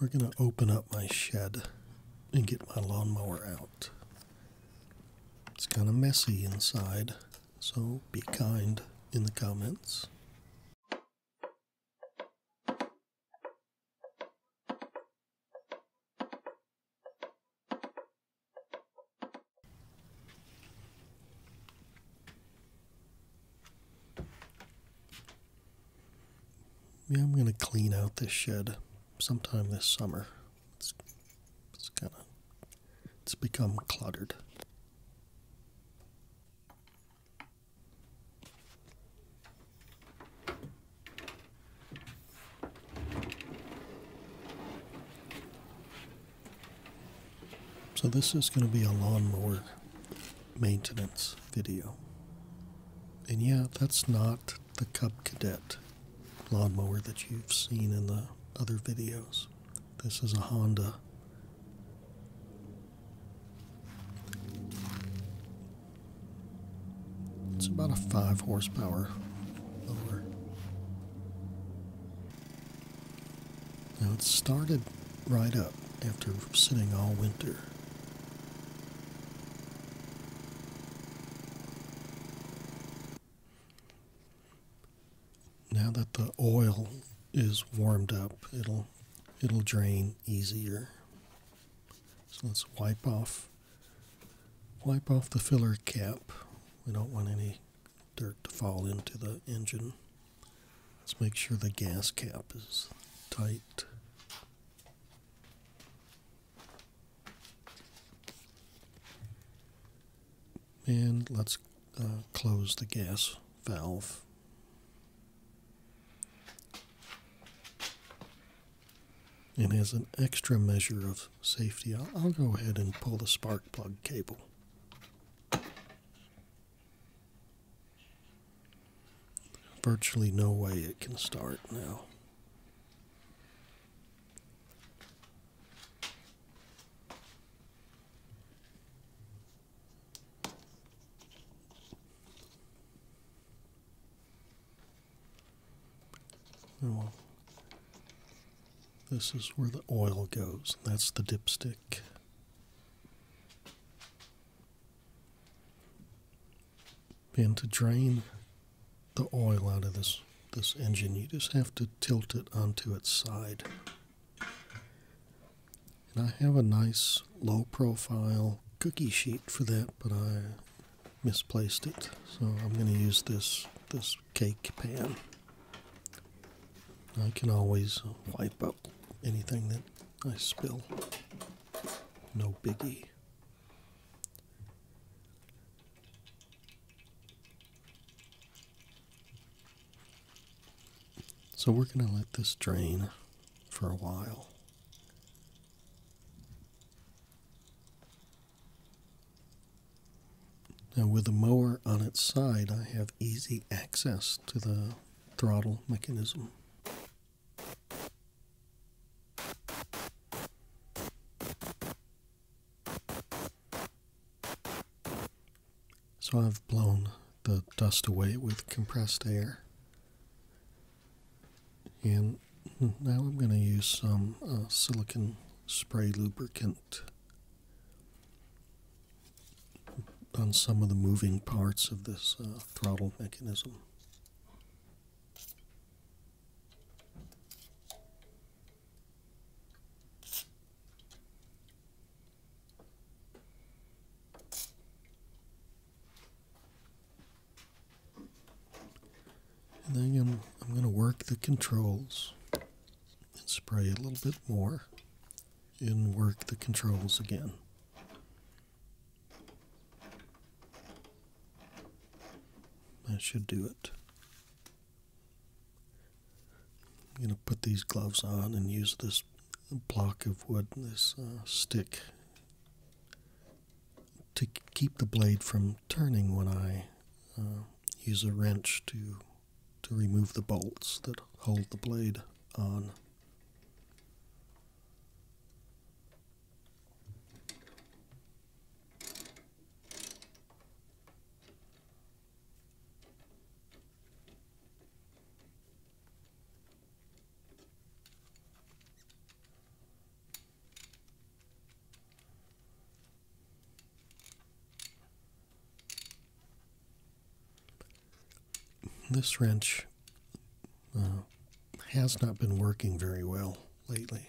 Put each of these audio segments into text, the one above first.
We're going to open up my shed and get my lawnmower out. It's kind of messy inside, so be kind in the comments. Yeah, I'm going to clean out this shed sometime this summer. It's, kind of it's become cluttered. So this is going to be a lawnmower maintenance video. And yeah, that's not the Cub Cadet lawnmower that you've seen in the other videos. This is a Honda it's about a five horsepower motor. Now it started right up after sitting all winter. Now that the oil is warmed up, it'll it'll drain easier. So let's wipe off wipe off the filler cap. We don't want any dirt to fall into the engine. Let's make sure the gas cap is tight. And let's uh, close the gas valve. And as an extra measure of safety, I'll, go ahead and pull the spark plug cable. Virtually no way it can start now. Oh, this is where the oil goes. That's the dipstick. And to drain the oil out of this, this engine, you just have to tilt it onto its side. And I have a nice low profile cookie sheet for that, but I misplaced it. So I'm going to use this this cake pan. I can always wipe out anything that I spill. No biggie. So we're going to let this drain for a while. Now with the mower on its side, I have easy access to the throttle mechanism. So I've blown the dust away with compressed air. And now I'm going to use some uh, silicon spray lubricant on some of the moving parts of this uh, throttle mechanism. And then I'm, I'm going to work the controls and spray a little bit more and work the controls again. That should do it. I'm going to put these gloves on and use this block of wood, this uh, stick, to keep the blade from turning when I uh, use a wrench to to remove the bolts that hold the blade on. This wrench uh, has not been working very well lately.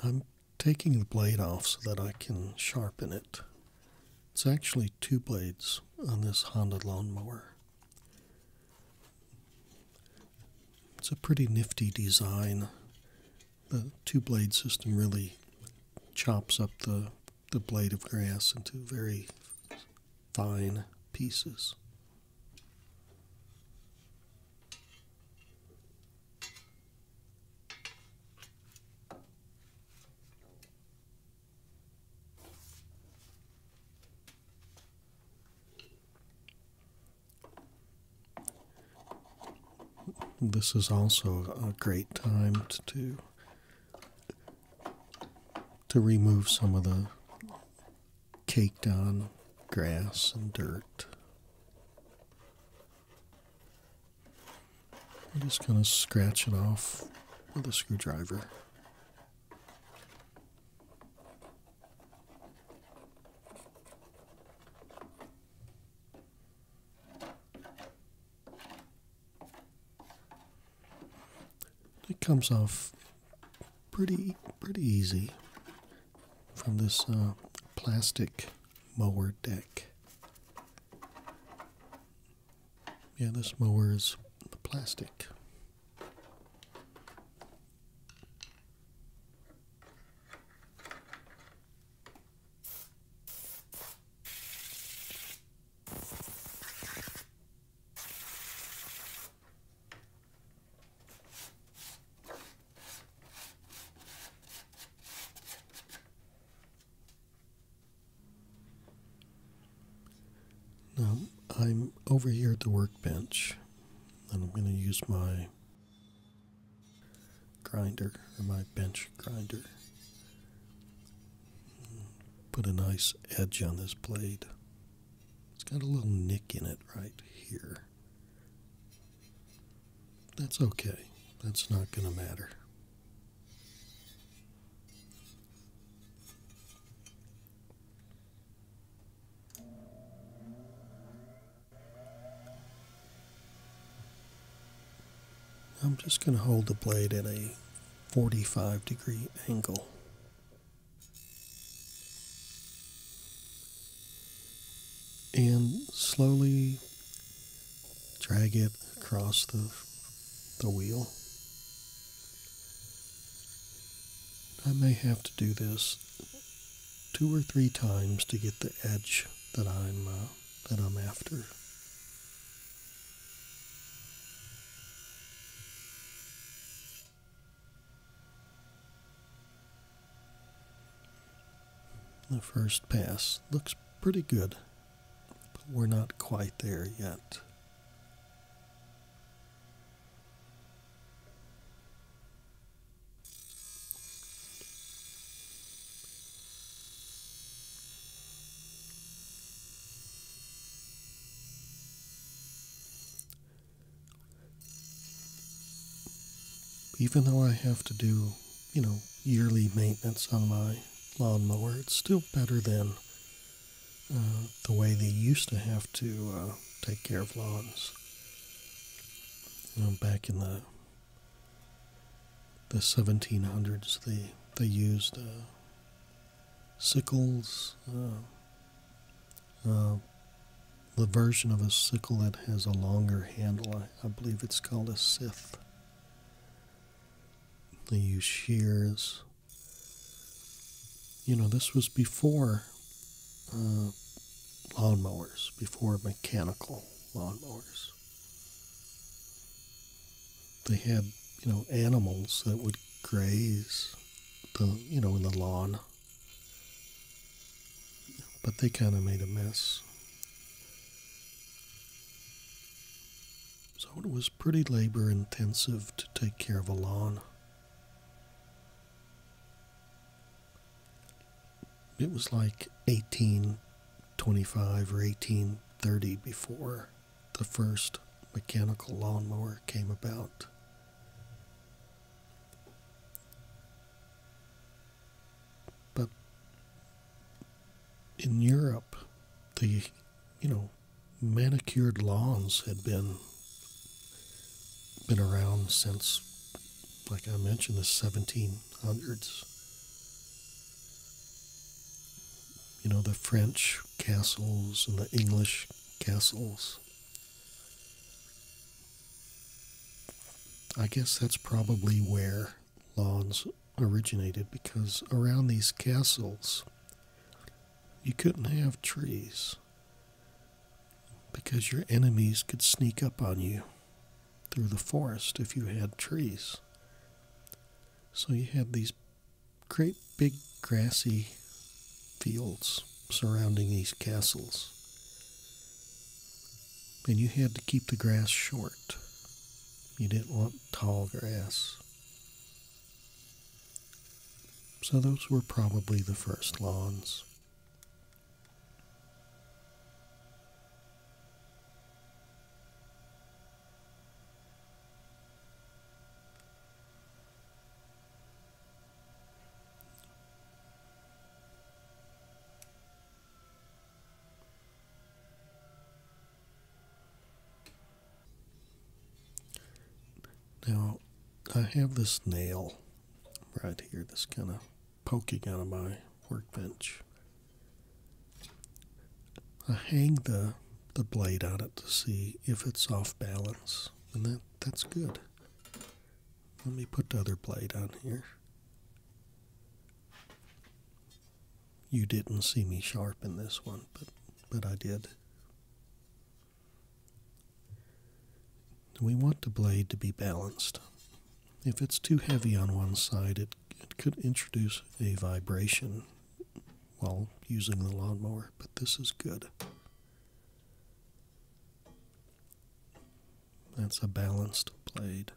I'm taking the blade off so that I can sharpen it. It's actually two blades on this Honda lawnmower. It's a pretty nifty design. The two blade system really chops up the, the blade of grass into very fine pieces. This is also a great time to to remove some of the caked on grass and dirt. I'm just going to scratch it off with a screwdriver. It comes off pretty pretty easy from this uh, plastic mower deck. Yeah, this mower is plastic. Now I'm over here at the workbench and I'm going to use my grinder or my bench grinder. Put a nice edge on this blade. It's got a little nick in it right here. That's okay. That's not going to matter. I'm just going to hold the blade at a 45 degree angle. And slowly drag it across the, the wheel. I may have to do this two or three times to get the edge that I'm uh, that I'm after. The first pass looks pretty good, but we're not quite there yet. Even though I have to do, you know, yearly maintenance on my lawnmower, it's still better than uh, the way they used to have to uh, take care of lawns. back in the the 1700s, they they used uh, sickles, the version of a sickle that has a longer handle. I, I believe it's called a scythe. They use shears you know, this was before uh, lawnmowers, before mechanical lawnmowers. They had, you know, animals that would graze the, you know, in the lawn. But they kind of made a mess. So it was pretty labor intensive to take care of a lawn. It was like 1825 or 1830 before the first mechanical lawnmower came about. But in Europe, the you know manicured lawns had been been around since, like I mentioned, the 1700s. You know, the French castles and the English castles. I guess that's probably where lawns originated because around these castles you couldn't have trees because your enemies could sneak up on you through the forest if you had trees. So you had these great big grassy fields surrounding these castles. And you had to keep the grass short. You didn't want tall grass. So those were probably the first lawns. Now, I have this nail right here that's kind of poking out of my workbench. I hang the, the blade on it to see if it's off balance, and that, that's good. Let me put the other blade on here you didn't see me sharpen this one, but but I did. We want the blade to be balanced. If it's too heavy on one side, it, it could introduce a vibration while using the lawnmower, but this is good. That's a balanced blade.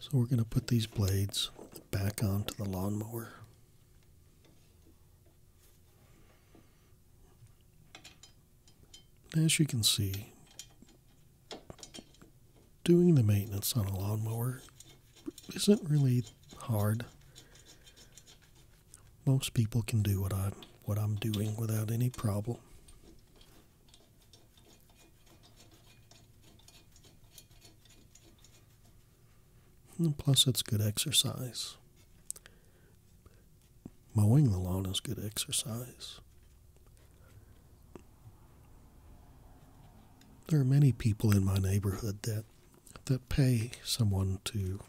So we're going to put these blades back onto the lawnmower. As you can see, doing the maintenance on a lawnmower isn't really hard. Most people can do what I'm what I'm doing without any problem plus, it's good exercise. Mowing the lawn is good exercise. There are many people in my neighborhood that that pay someone to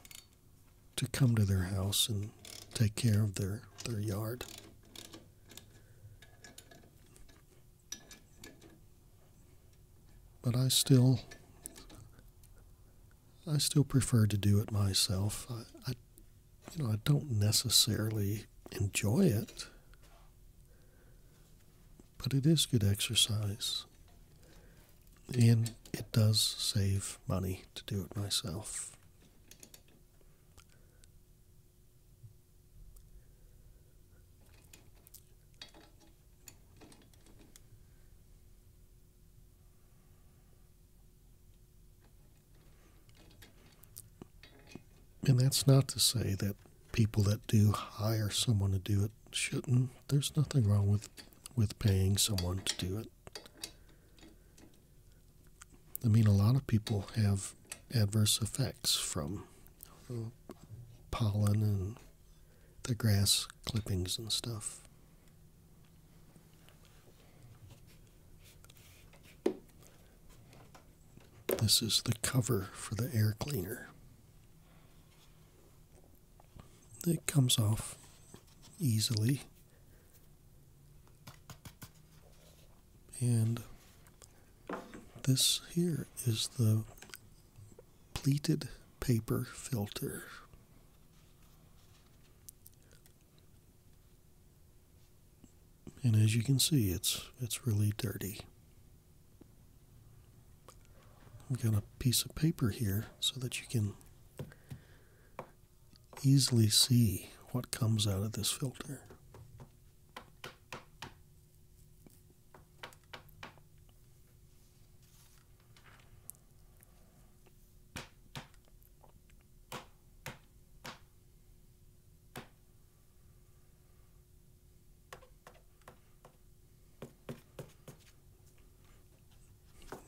to come to their house and take care of their, their yard. But I still, I still prefer to do it myself. you know, I don't necessarily enjoy it, but it is good exercise. And it does save money to do it myself. And that's not to say that people that do hire someone to do it shouldn't. There's nothing wrong with, with paying someone to do it. I mean, a lot of people have adverse effects from pollen and the grass clippings and stuff. This is the cover for the air cleaner. It comes off easily. And this here is the pleated paper filter. And as you can see, it's it's really dirty. I've got a piece of paper here so that you can easily see what comes out of this filter.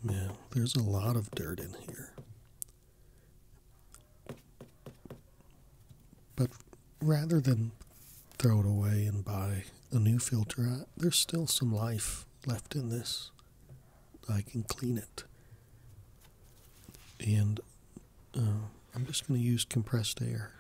Yeah, there's a lot of dirt in here. But rather than throw it away and buy a new filter, I, there's still some life left in this. I can clean it. And uh, I'm just going to use compressed air.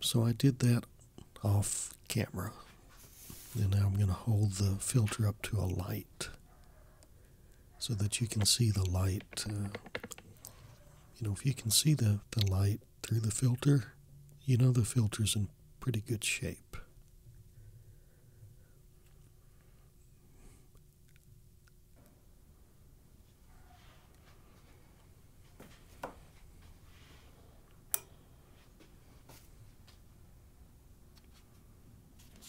So I did that off camera. And now I'm going to hold the filter up to a light so that you can see the light. Uh, you know, if you can see the, the light through the filter, you know the filter's in pretty good shape.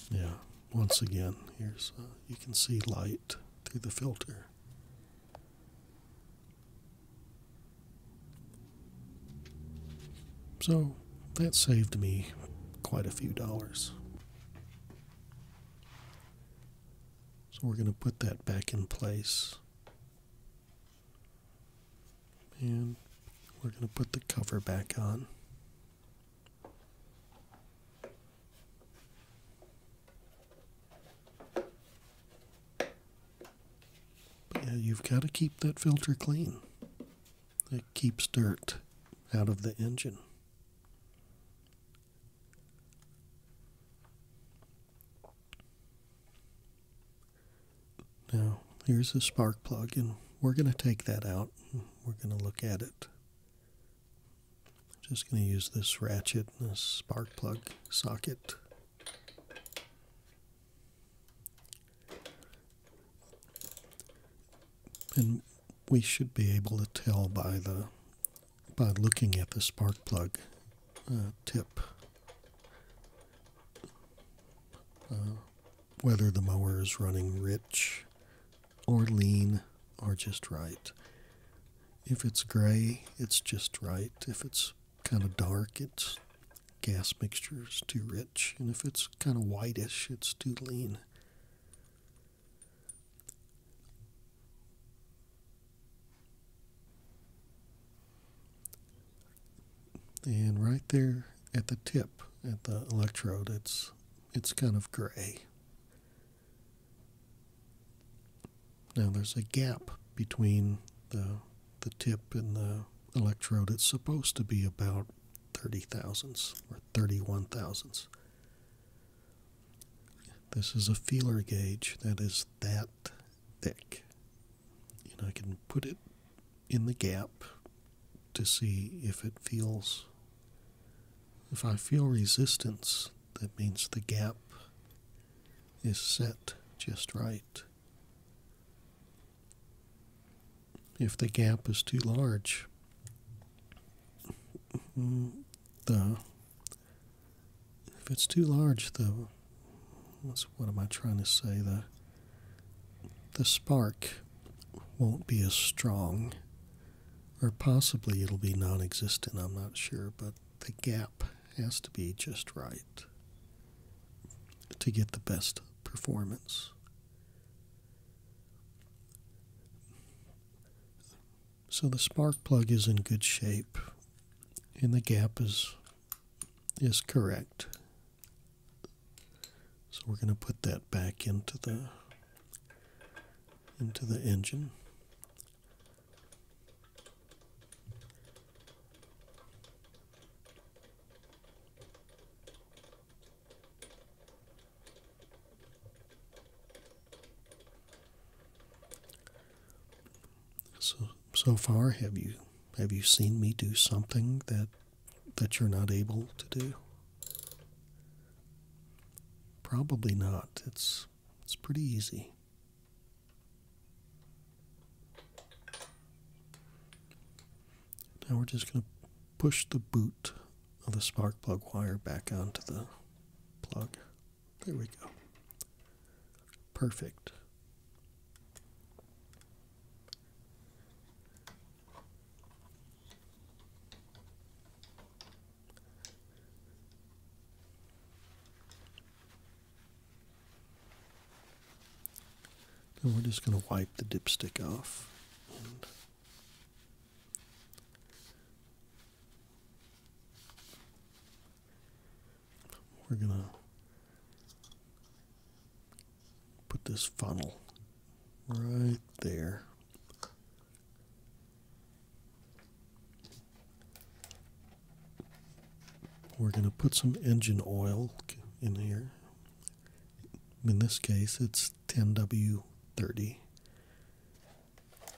Yeah, once again, here's uh, you can see light through the filter. So that saved me quite a few dollars. So we're going to put that back in place. And we're going to put the cover back on. But you've got to keep that filter clean. It keeps dirt out of the engine. Now, here's the spark plug, and we're going to take that out. We're going to look at it. just going to use this ratchet and this spark plug socket. And we should be able to tell by the by looking at the spark plug uh, tip uh, whether the mower is running rich or lean or just right. If it's gray, it's just right. If it's kind of dark, it's gas mixture is too rich. And if it's kind of whitish, it's too lean. And right there at the tip, at the electrode, it's it's kind of gray. Now there's a gap between the the tip and the electrode. It's supposed to be about 30 thousandths or 31 thousandths. This is a feeler gauge that is that thick. And I can put it in the gap to see if it feels. If I feel resistance, that means the gap is set just right. If the gap is too large, the if it's too large, though, what's, what am I trying to say? The, the spark won't be as strong, or possibly it'll be non existent, I'm not sure, but the gap has to be just right to get the best performance. So the spark plug is in good shape and the gap is is correct. So we're going to put that back into the into the engine. So so far have you have you seen me do something that that you're not able to do? Probably not. It's it's pretty easy. Now we're just going to push the boot of the spark plug wire back onto the plug. There we go. Perfect. And we're just going to wipe the dipstick off. We're going to put this funnel right there. We're going to put some engine oil in here. In this case, it's 10W30.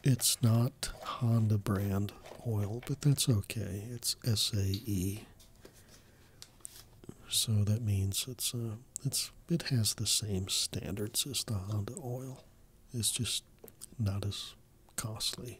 It's not Honda brand oil, but that's okay. It's SAE. So that means it's uh, it's it has the same standards as the Honda oil. It's just not as costly.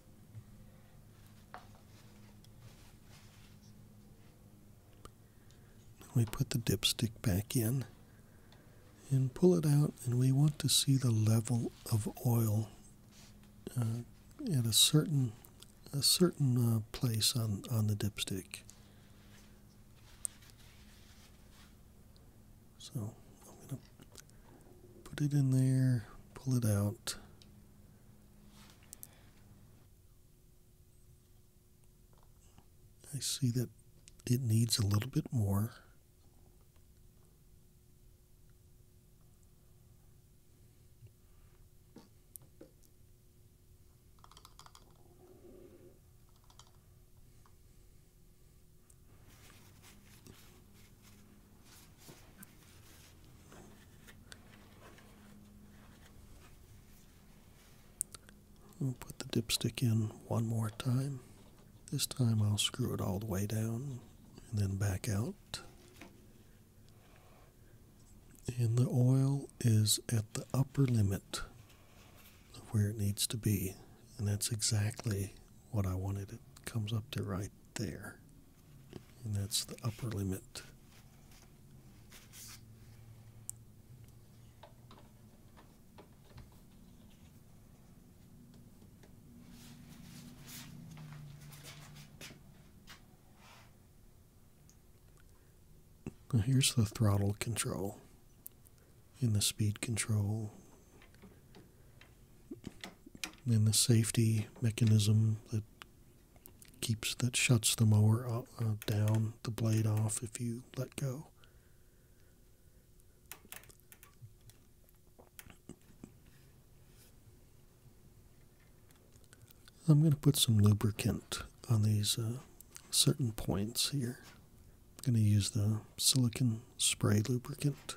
We put the dipstick back in and pull it out, and we want to see the level of oil uh, at a certain a certain uh, place on on the dipstick. So I'm going to put it in there, pull it out. I see that it needs a little bit more. We'll put the dipstick in one more time. This time I'll screw it all the way down and then back out. And the oil is at the upper limit of where it needs to be and that's exactly what I wanted. It comes up to right there, and that's the upper limit. here's the throttle control and the speed control and the safety mechanism that keeps that shuts the mower uh, down, the blade off if you let go. I'm going to put some lubricant on these uh, certain points here. I'm going to use the silicon spray lubricant.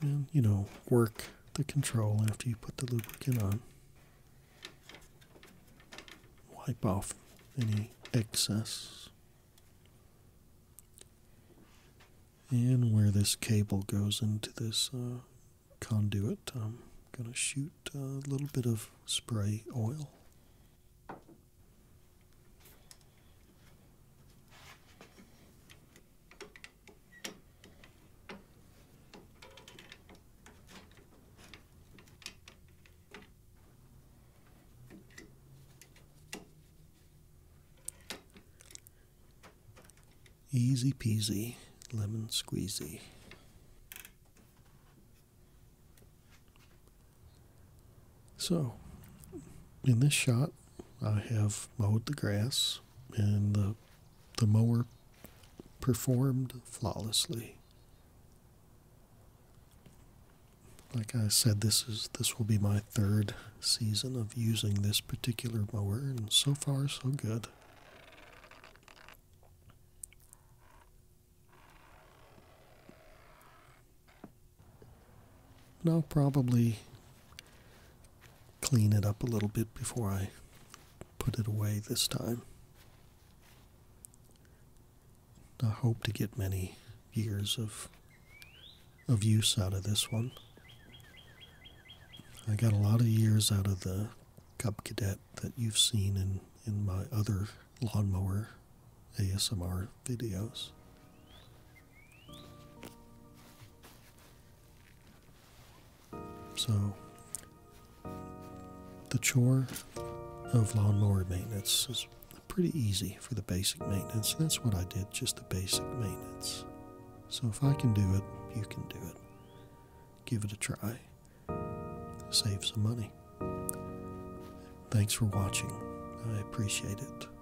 and you know work the control after you put the lubricant on wipe off any excess and where this cable goes into this uh, conduit i'm going to shoot a little bit of spray oil Easy peasy, lemon squeezy. So, in this shot, I have mowed the grass and the, the mower performed flawlessly. Like I said, this is this will be my third season of using this particular mower, and so far so good. And I'll probably clean it up a little bit before I put it away this time. I hope to get many years of of use out of this one. I got a lot of years out of the Cub Cadet that you've seen in, in my other lawnmower ASMR videos. So, the chore of lawn mower maintenance is pretty easy for the basic maintenance. That's what I did, just the basic maintenance. So, if I can do it, you can do it. Give it a try. Save some money. Thanks for watching. I appreciate it.